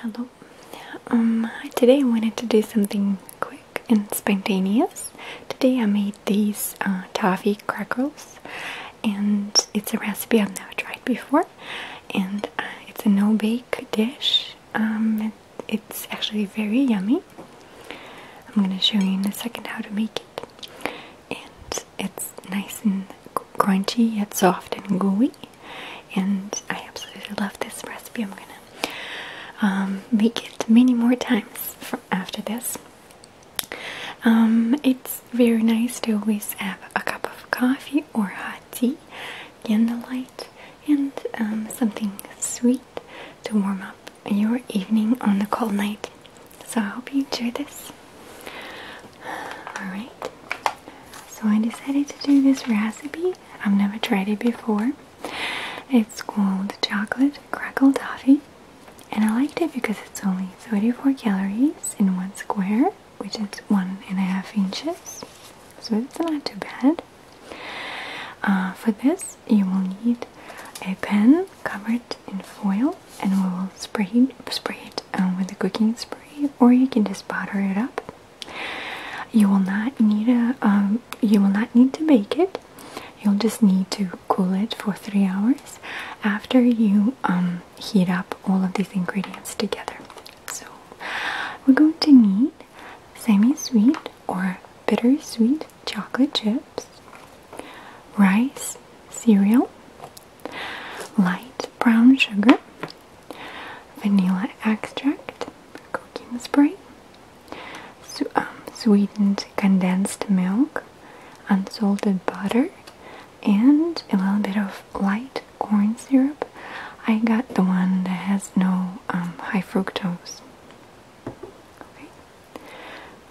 Hello. Um, today I wanted to do something quick and spontaneous. Today I made these uh, toffee crackles, and it's a recipe I've never tried before. And uh, it's a no-bake dish. Um, it's actually very yummy. I'm gonna show you in a second how to make it. And it's nice and crunchy yet soft and gooey and I absolutely love this recipe. I'm gonna um, make it many more times after this. Um, it's very nice to always have a cup of coffee or hot tea, candlelight, and um, something sweet to warm up your evening on the cold night. So I hope you enjoy this. Alright, so I decided to do this recipe. I've never tried it before. It's called Chocolate Crackle Toffee. And I liked it because it's only 34 calories in one square, which is one and a half inches. So it's not too bad. Uh, for this, you will need a pan covered in foil, and we will spray spray it um, with a cooking spray, or you can just butter it up. You will not need a. Um, you will not need to bake it. You'll just need to cool it for three hours after you um, heat up all of these ingredients together. So we're going to need semi-sweet or bittersweet chocolate chips, rice, cereal, light brown sugar, vanilla extract, cooking spray, um, sweetened condensed milk, unsalted butter, and a little bit of light corn syrup. I got the one that has no um, high fructose.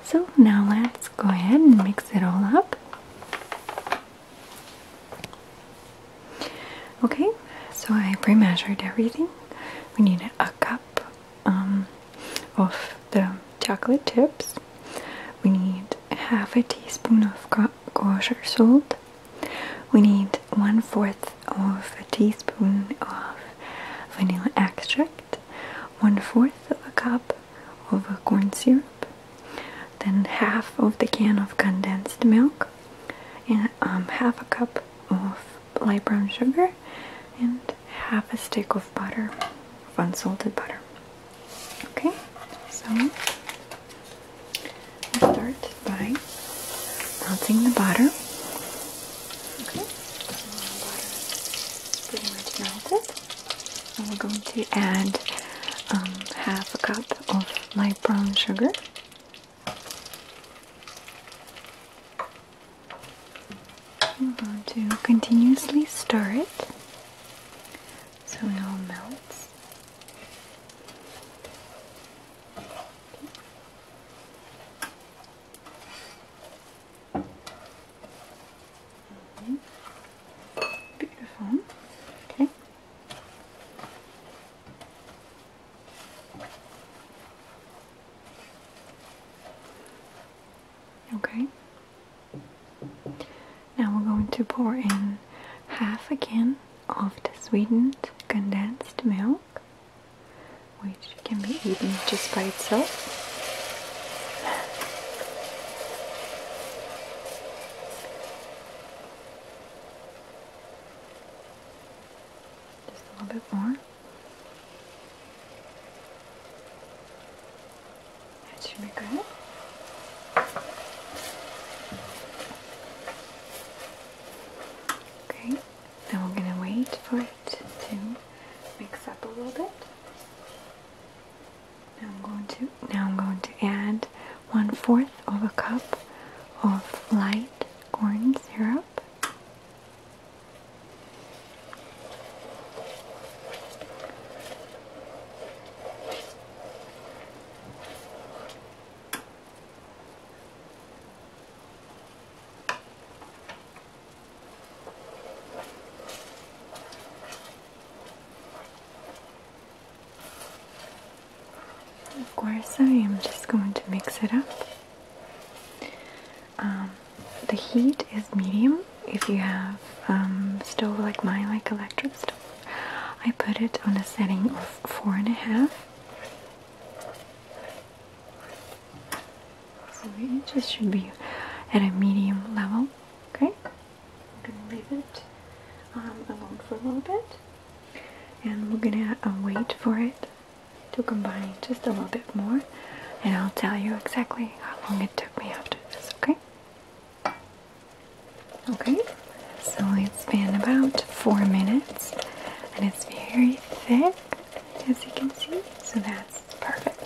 So now let's go ahead and mix it all up. Okay, so I pre-measured everything. We need a cup um, of the chocolate chips. We need half a teaspoon of kosher salt. We need one fourth of a teaspoon of vanilla extract one fourth of a cup of corn syrup, then half of the can of condensed milk, and um, half a cup of light brown sugar, and half a stick of butter, unsalted butter. Okay, so we'll start by melting the butter. Okay the pretty much melted. And we're going to add um, half a cup of my brown sugar. I'm going to continuously stir it so it all melts. Beautiful. Okay. Okay. Now we're going to pour in half a can of the sweetened condensed milk which can be eaten just by itself. Just a little bit more. That should be good. Okay. Now we're going to wait for it to mix up a little bit. Now I'm going to now I'm going to add one fourth of a cup of light corn syrup. Of course, I am just going to mix it up. Um, the heat is medium. If you have um, stove like my, like electric stove, I put it on a setting of four and a half. So it just should be at a medium level. Okay, I'm gonna leave it um, alone for a little bit, and we're gonna uh, wait for it to combine just a little bit more, and I'll tell you exactly how long it took me after this. Okay. Okay, so it's been about four minutes, and it's very thick as you can see. So that's perfect.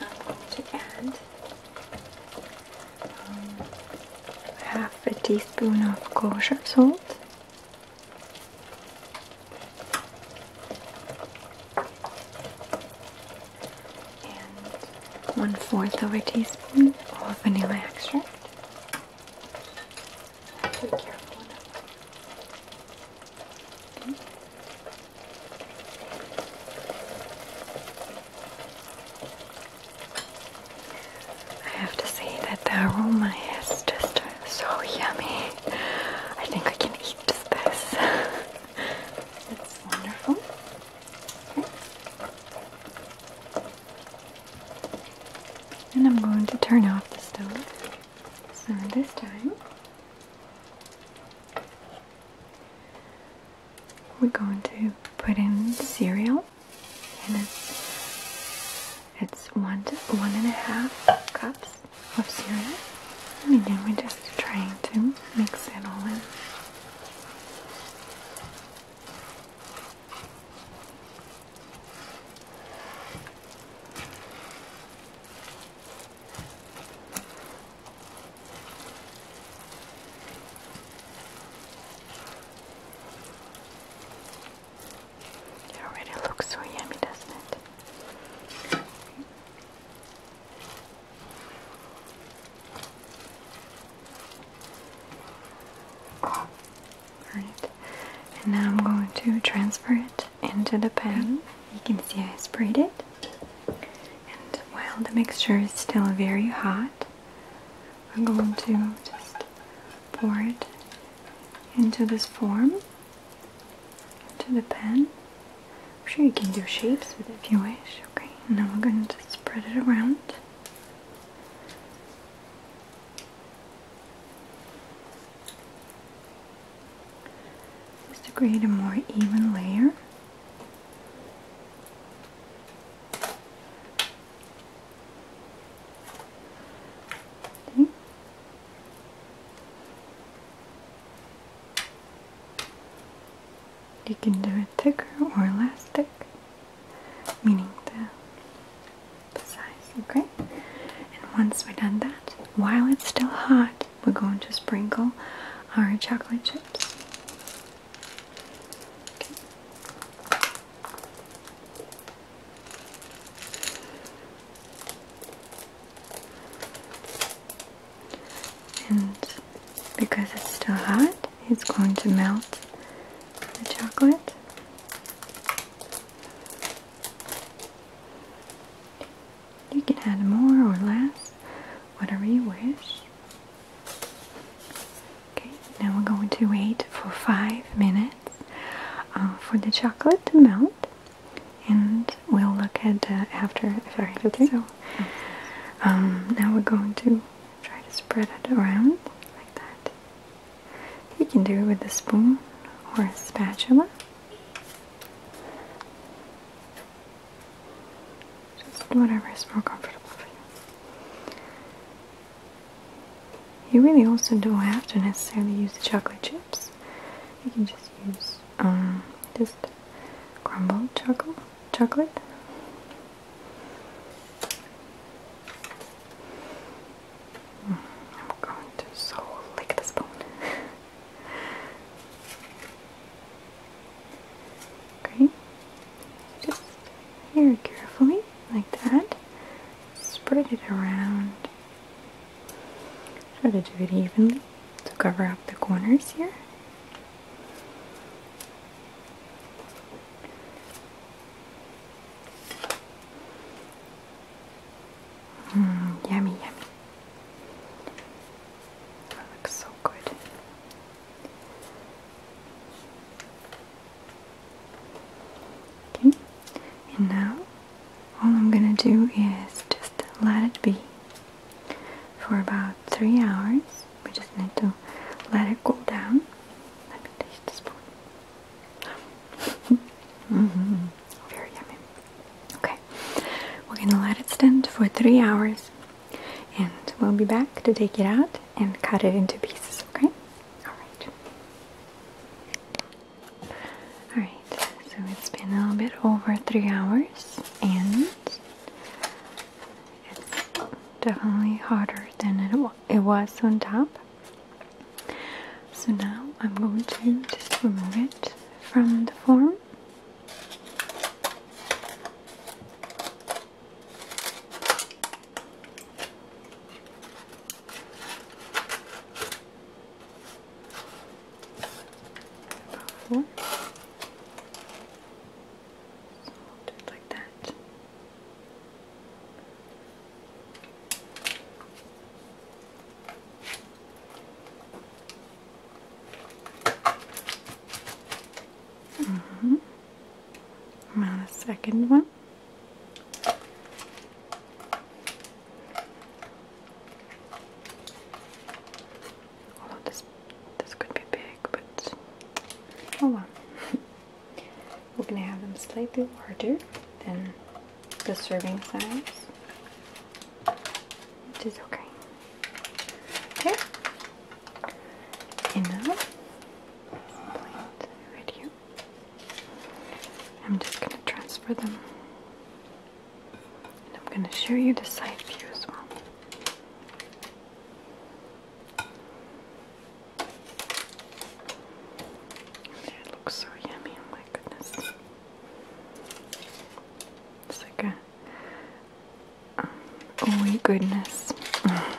I'm um, going to add um, half a teaspoon of kosher salt. and One fourth of a teaspoon of vanilla extract. I have to say that the aroma is just so yummy. I think I can eat this. It's wonderful. And I'm going to turn off the stove. So this time, we're going to put in cereal, and it's, one to one and a half cups of cereal. And again, we're just trying to mix it all in. It already looks so yummy, doesn't it? All right, and now I'm going to transfer it into the pan. Mm-hmm. You can see I sprayed it, and while the mixture is still very hot, I'm going to just pour it into this form, into the pan. I'm sure you can do shapes with it if you wish. Okay, now I'm going to spread it around. Just to create a more even layer. You can do it thicker or less thick meaning the, size, okay? And once we are done that, while it's still hot, we're going to sprinkle our chocolate chips. And because it's still hot, it's going to melt the chocolate. You can add more or less, whatever you wish. Okay, now we're going to wait for five minutes uh, for the chocolate to melt, and we'll look at uh, the after effect. Okay. So, um, now we're going to Try to spread it around like that. You can do it with a spoon or a spatula. Just whatever is more comfortable for you. You really also don't have to necessarily use the chocolate chips. You can just use um, just crumbled chocolate, chocolate, I'm going to so lick the spoon. okay, just very carefully, like that, spread it around. Try to do it evenly to cover up the corners here. Mm, yummy, yummy. That looks so good. Okay, and now all I'm gonna do is just let it be for about three hours. We just need to let it cool down. Let me taste the spoon. Very yummy. Okay, we're gonna let it stand for three hours, and we'll be back to take it out and cut it into pieces. Okay. All right. All right. So it's been a little bit over three hours, and it's definitely harder than it, it was on top. So now I'm going to just remove it from the form. So I'll do it like that. -hmm. Now second one. Although this this could be big, but oh well. We're gonna have them slightly larger than the serving size, which is okay. Okay. And right here. I'm just gonna transfer them and I'm going to show you the side view as well. There, looks so yummy, oh my goodness. It's um, oh my goodness. okay.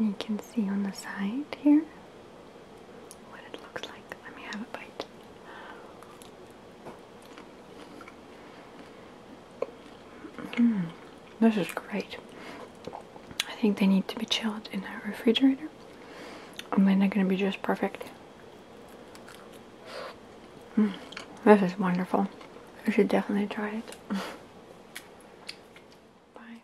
you can see on the side here what it looks like. Let me have a bite. Mm. this is great. I think they need to be chilled in a refrigerator, and then they're going to be just perfect. Mm. this is wonderful. I should definitely try it. Bye.